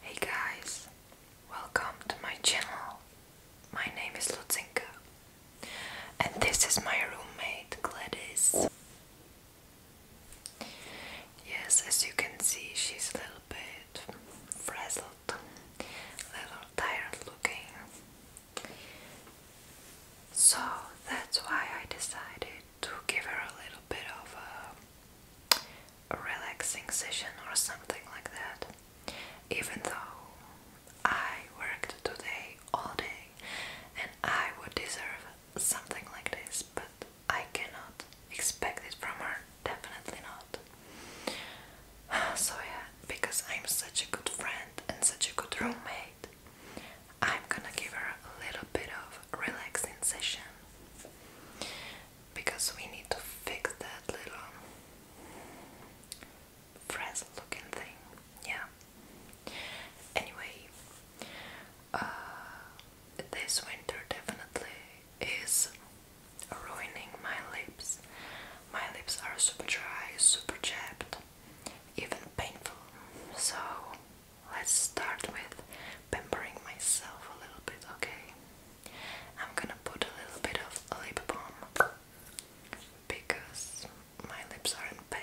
Hey guys, welcome to my channel. My name is Lutzinka, and this is my roommate Gladys. Yes, as you can see, she's a little bit frazzled, a little tired looking. So that's why I decided to give her a little bit of a, relaxing session or something like that. Even though I worked today all day and I would deserve something like this, but I cannot expect this from her, definitely not. So, yeah, because I'm such a good friend and such a good roommate, I'm gonna give her a little bit of relaxing session because we need to fix that little frazzled looking thing. Yeah. Anyway, uh, this winter definitely is ruining my lips. My lips are super dry, super chapped, even painful. So let's start with pampering myself a little bit, okay? I'm gonna put a little bit of lip balm because my lips are in pain.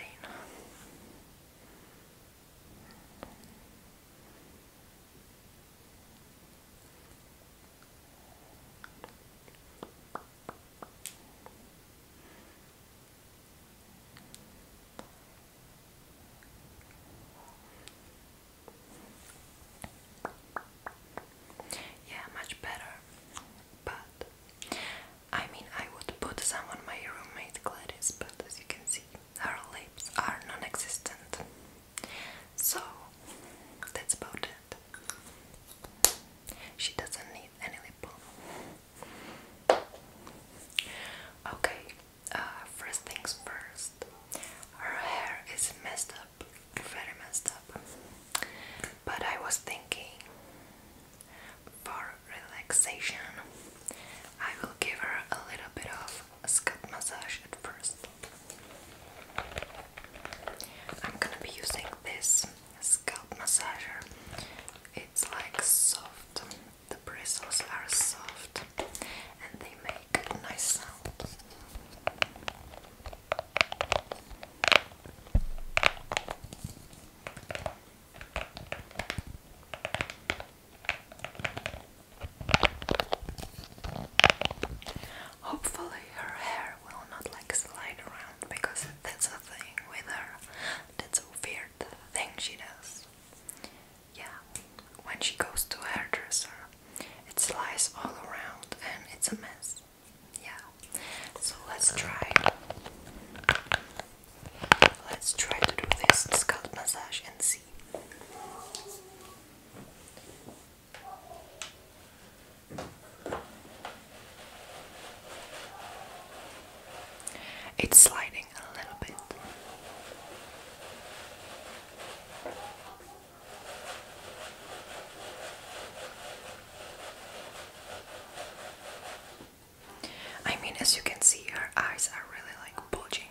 Yeah, much better. But I mean, I would put someone my roommate Gladys, but as you can see, her lips are non-existent. So that's about it. She doesn't need any lip balm. Okay, uh, first things first, her hair is messed up, very messed up. But I was thinking for relaxation, I will give her a little bit of a scalp massage at first. I'm gonna be using this scalp massager, it's like soft the bristles are soft and they make a nice sound. Hopefully her hair will not like slide around because that's a thing with her. That's a weird thing she does. Yeah, when she goes to a hairdresser, it slides all around and it's a mess. Yeah, so let's try. Let's try to do this scalp massage and see. It's sliding I mean, as you can see, her eyes are really like bulging,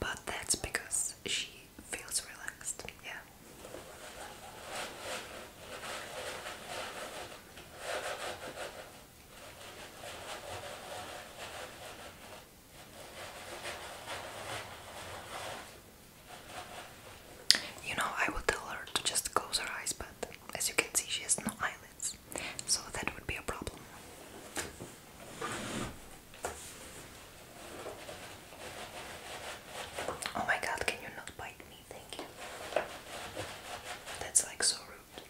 but that's because she feels relaxed, yeah. You know, I would tell her to just close her eyes, but as you can see, she has no eyelids, so that would be a problem. Oh my god, can you not bite me? Thank you. That's like so rude.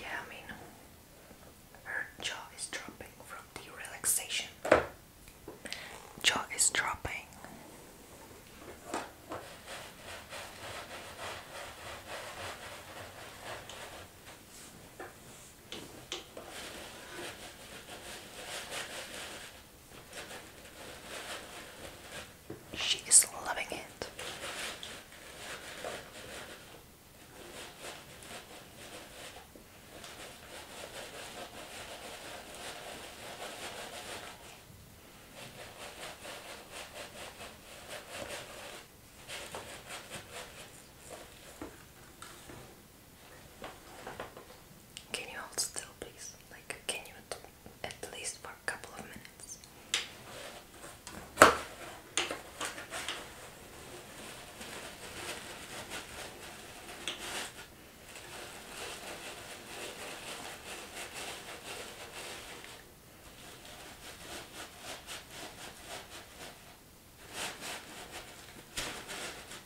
Yeah, I mean, her jaw is dropping from the relaxation. Jaw is dropping. She is loving it. Can you hold still, please? Like, can you at least for a couple of minutes.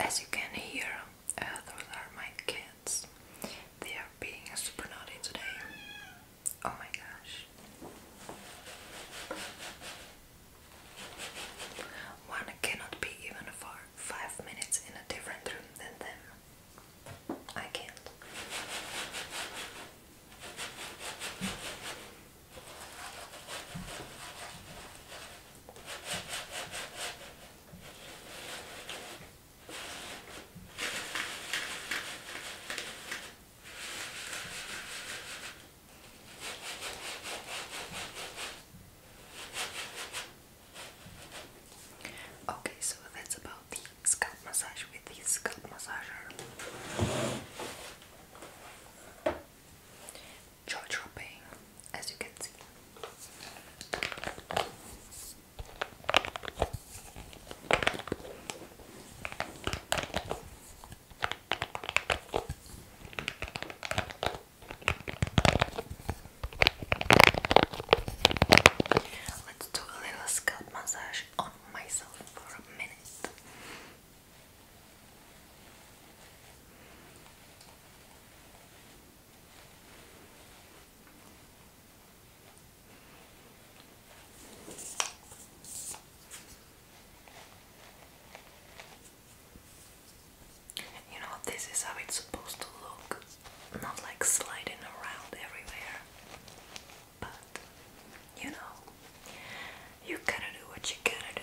As you can hear, uh, those are my kids. They are being super naughty today. Oh my gosh. One cannot be even for five minutes in a different room than them. I can't. Okay, so that's about the scalp massage with the scalp massager. Jaw dropping, as you can see. Let's do a little scalp massage on myself for a minute. You know, this is how it's supposed to look, not like sliding around everywhere. But, you know, you gotta do what you gotta do.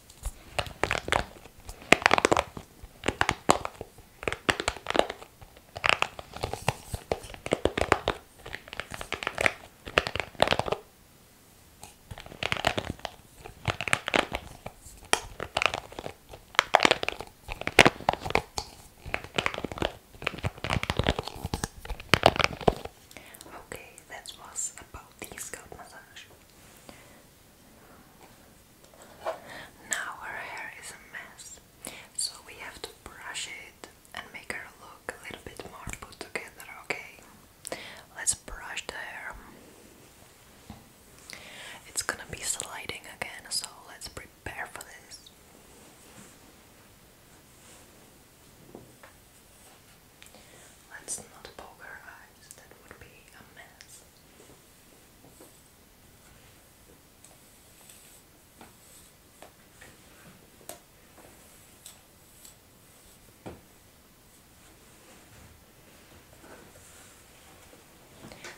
Okay, that was about the scalp massage. Now her hair is a mess, so we have to brush it and make her look a little bit more put together, okay? Let's brush the hair. It's gonna be sliding again, so let's prepare for this. Let's not poke her eyes, that would be a mess.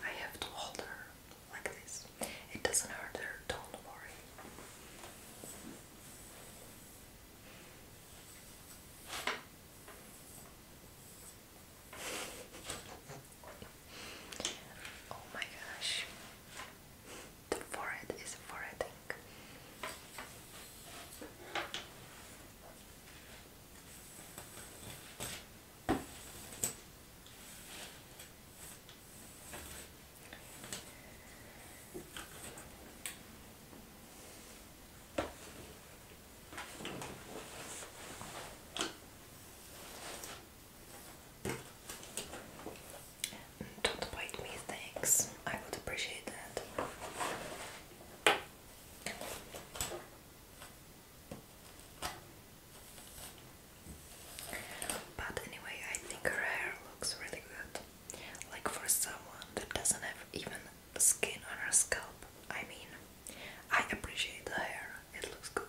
I have to hold her like this. It doesn't hurt her, don't worry. Oh my gosh, the forehead is foreheading. Don't bite me, thanks. I would appreciate that. But anyway, I think her hair looks really good. Like for someone that doesn't have even skin on her scalp. I mean, I appreciate the hair, it looks good.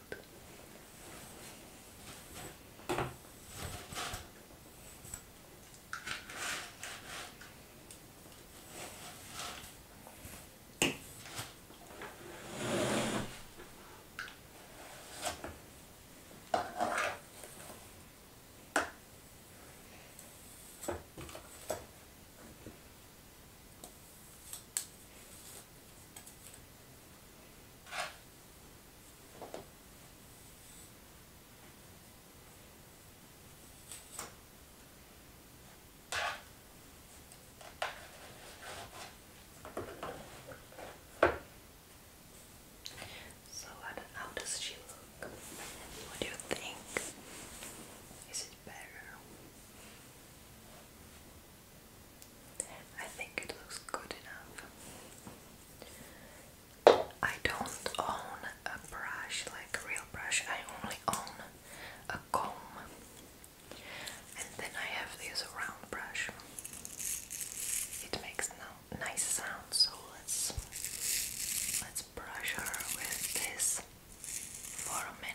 So how does she look? What do you think? it I think it looks good enough. I don't own a brush, like real brush, I only own a comb. And then I have this round brush. It makes no nice sound, so let's let's brush her with this for a minute.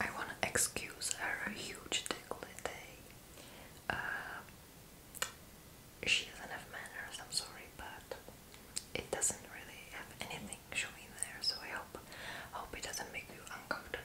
I want to excuse her huge décolleté. Uh, she doesn't have manners, I'm sorry, but it doesn't really have anything showing there, so I hope hope it doesn't make you uncomfortable.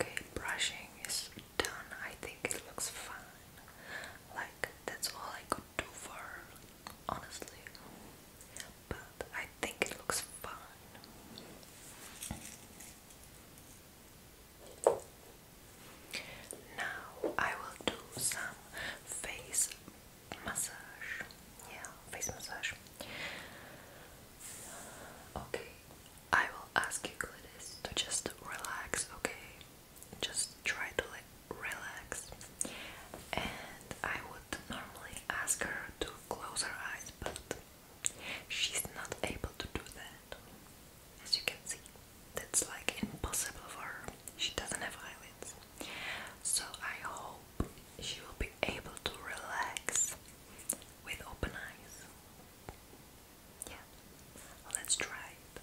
Okay, brushing is done. I think it looks fine. Like, that's all I could do for honestly. But I think it looks fine. Now I will do some face massage. Yeah, face massage. Okay, I will ask you, to just relax, okay? Just try to like relax. And I would normally ask her to close her eyes, but she's not able to do that. As you can see, that's like impossible for her. She doesn't have eyelids. So I hope she will be able to relax with open eyes. Yeah, let's try it.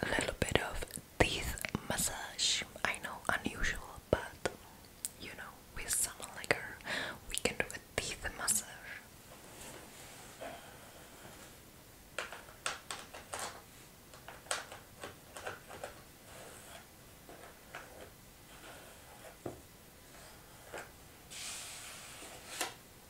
A little bit of teeth massage. I know, unusual, but you know, with someone like we can do a teeth massage.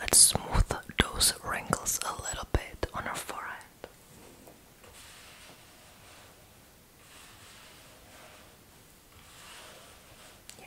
Let's smooth those wrinkles a little bit on her forehead. Yeah.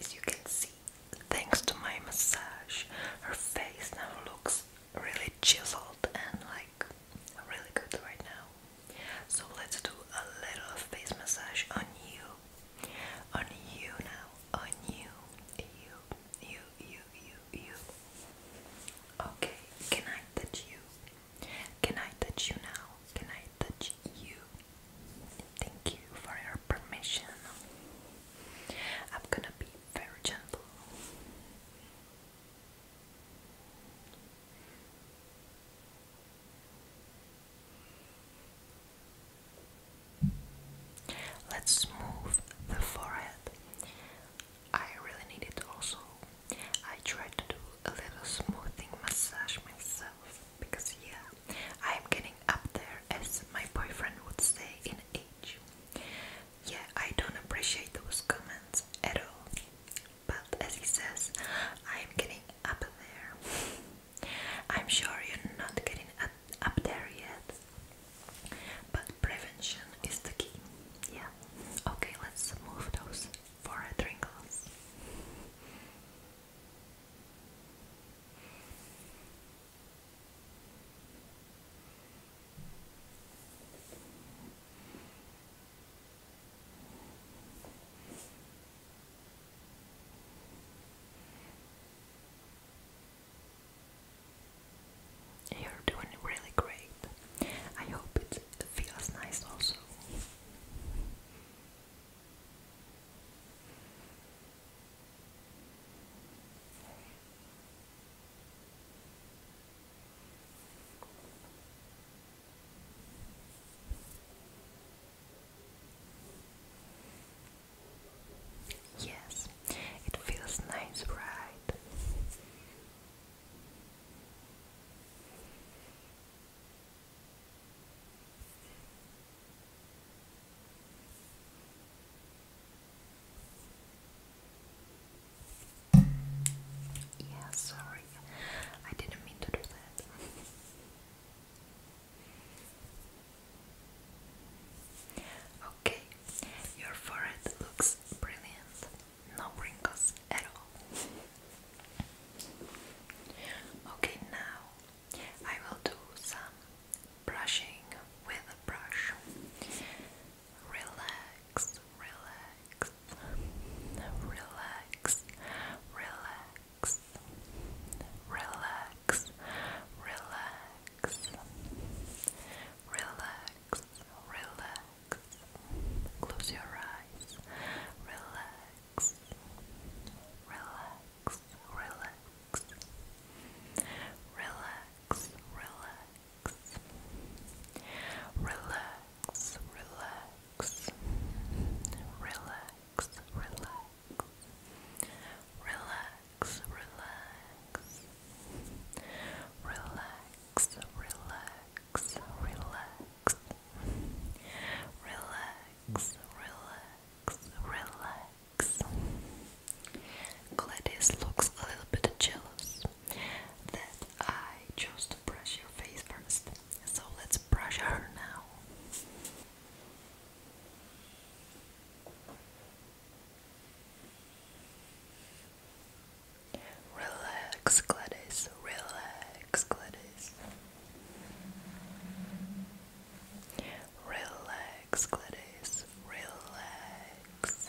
As you can see, thanks to my massage, her face now looks really chiseled and like really good right now. So let's do a little face massage on you on you now, on you, you, you, you, you, Okay, can I touch you? Can I touch you now? Can I touch you? Thank you for your permission. I'm gonna be very gentle. Let's smooth the forehead. I really need it also. I try to do a little smoothing massage myself because, yeah, I'm getting up there as my boyfriend would say in age. Yeah, I don't appreciate those comments at all, but as he says, I'm getting up there. I'm sure you're not getting up there yet, but prevention is the key. Yeah. Okay, let's move those forehead wrinkles. Okay, you're doing really great. I hope it feels nice also. Yes, it feels nice, right? Yeah, sorry, I didn't mean to do that. Okay, your forehead looks brilliant, no wrinkles at all. Okay, now I will do some brushing with a brush. Relax, relax, relax, relax, relax, relax, relax, relax, relax. Close your eyes, relax, relax, relax, relax, relax, relax, relax. Relax, relax, relax, relax, relax, relax, relax, relax, relax. Gladys looks a little bit jealous that I chose brush your face first, so let's brush her now. Relax, Gladys. Relax, Gladys. Relax, Gladys. Relax. Relax,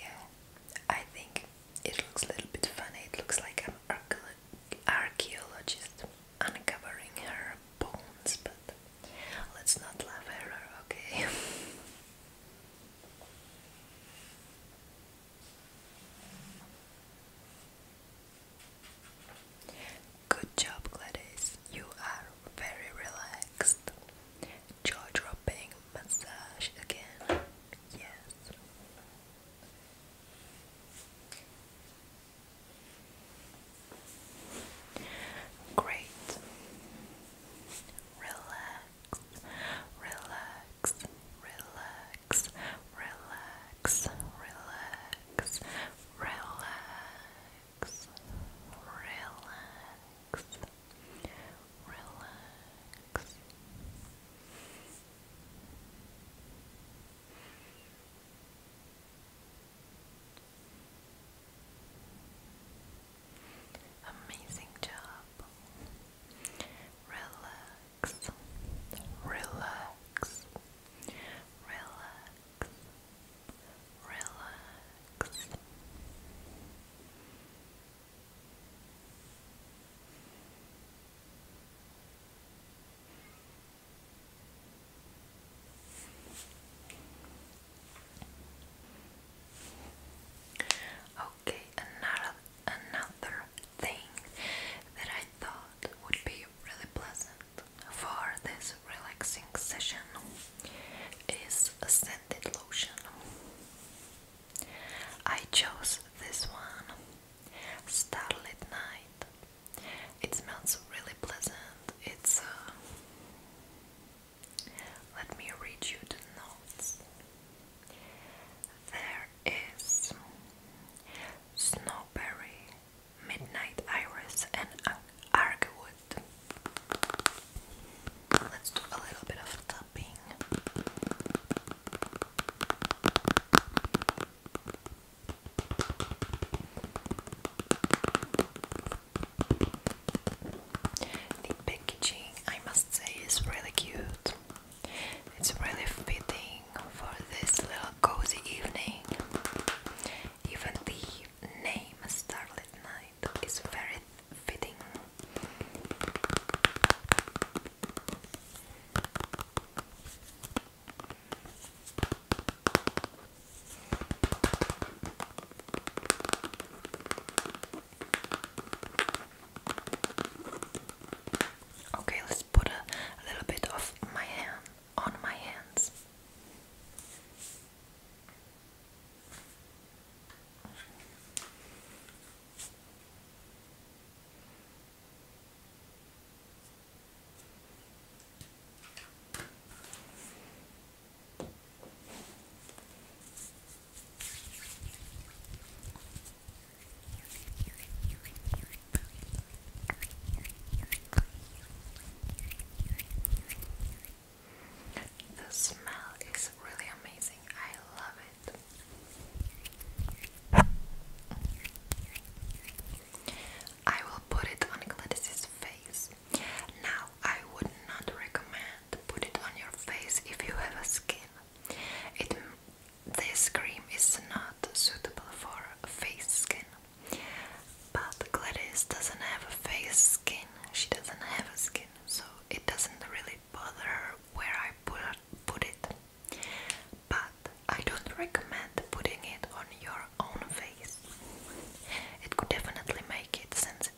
Yeah, I think it looks a little bit funny. It looks like I'm archaeologist uncovering her bones, but let's not laugh at her, okay? Good job, Gladys. You are very relaxed. Jaw dropping massage again. Yes. Great. Relax, relax, relax, relax, relax, relax, relax, relax. Amazing job. Relax. Relax. Relax. Relax. Okay, another another thing that I thought would be really pleasant for this relaxing session is a scented lotion. I chose this one, Starlit Night it smells really pleasant. It's. Uh, let me read you the notes. There is snowberry, midnight iris, and argwood. Let's do a little bit of tapping. The packaging, I must say, is really cute. It's really fitting for this little cozy evening. Even the name Starlit Night is very fitting. Okay, let's put a, little bit of my hand on my hands. The smell is really amazing. I love it. I will put it on Gladys's face. Now, I would not recommend to put it on your face if you have a skin. this cream is not suitable for face skin. But Gladys doesn't have a face skin. She doesn't have a skin, so it doesn't really bother her where I put it. But I don't recommend putting it on your own face. It could definitely make it sensitive.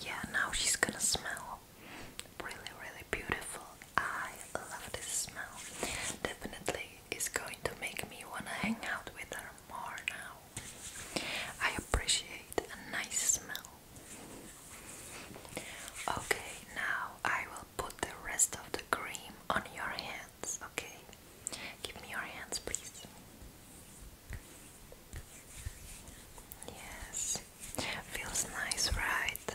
Yeah, now she's gonna smell really, really beautiful. I love this smell. Definitely is going to make me wanna hang out with her more now. I appreciate a nice smell. Okay, now I will put the rest of the cream on your hands, okay? Give me your hands, please. Yes, feels nice, right?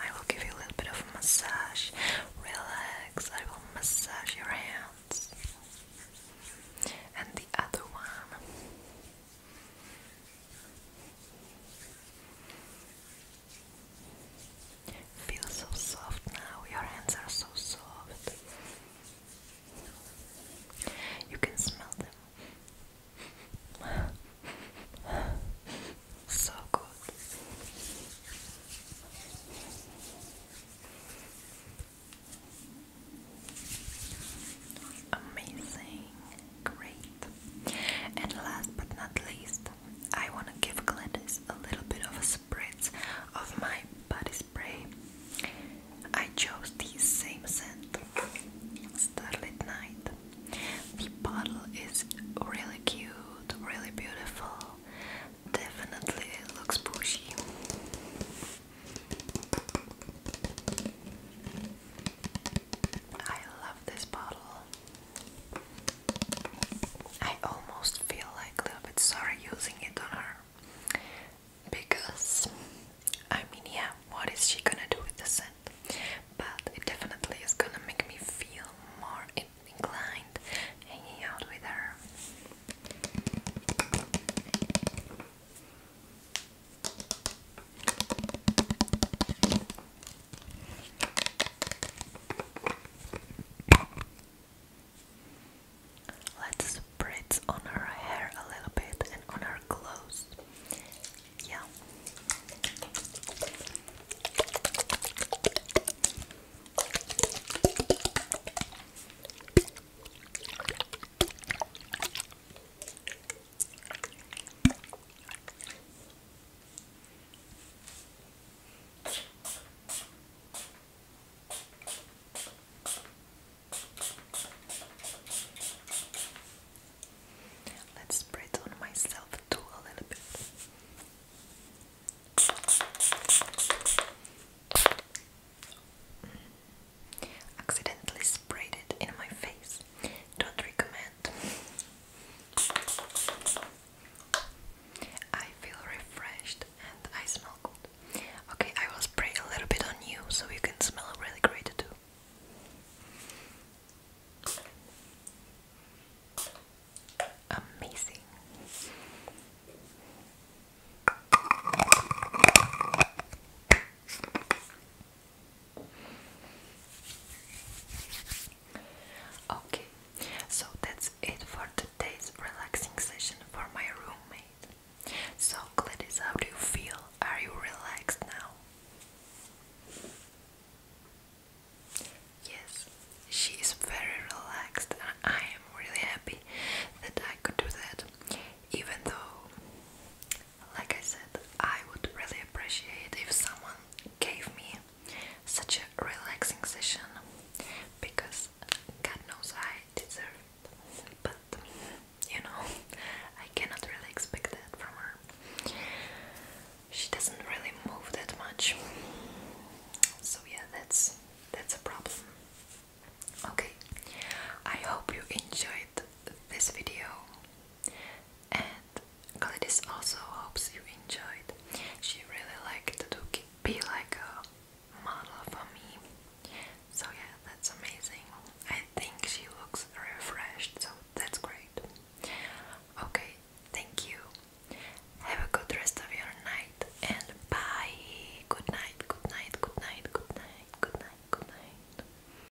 I will give you a little bit of massage. Relax, I will massage your hands. And the other one. Feel so soft now, your hands are so soft. You can smell them. so good. Amazing. Great. And last but not least, I want to give Gladys a little bit of a spritz of my body spray. I chose the same scent, Starlit Night. The bottle is really cute, really beautiful, definitely looks pushy. I love this bottle. I almost feel like a little bit sorry using it on her because I mean, yeah, what is she gonna do with the scent? But it definitely is gonna make me feel more inclined hanging out with her. Let's spritz on her hair a little bit and on her clothes. Yeah. Let's spread on myself too a little bit. Accidentally sprayed it in my face. Don't recommend I feel refreshed and I smell good. Okay, I will spray a little bit on you so you can smell really great too. Amazing. Okay, so that's it for today's relaxing session for my roommate. So, Gladys, how do you feel? Are you relaxed now? Yes, she is very relaxed, and I am really happy that I could do that, even though like I said, I would really appreciate if someone gave me such a relaxing session because God knows I deserve it. But you know, I cannot really expect that from her. She doesn't really move that much. So yeah, that's that's a problem. Okay. I hope you enjoyed this video and Gladys also hopes you enjoyed. She really liked to be like a model for me. So yeah, that's amazing. I think she looks refreshed, so that's great. Okay, thank you. Have a good rest of your night and bye. Good night, good night, good night, good night, good night, good night.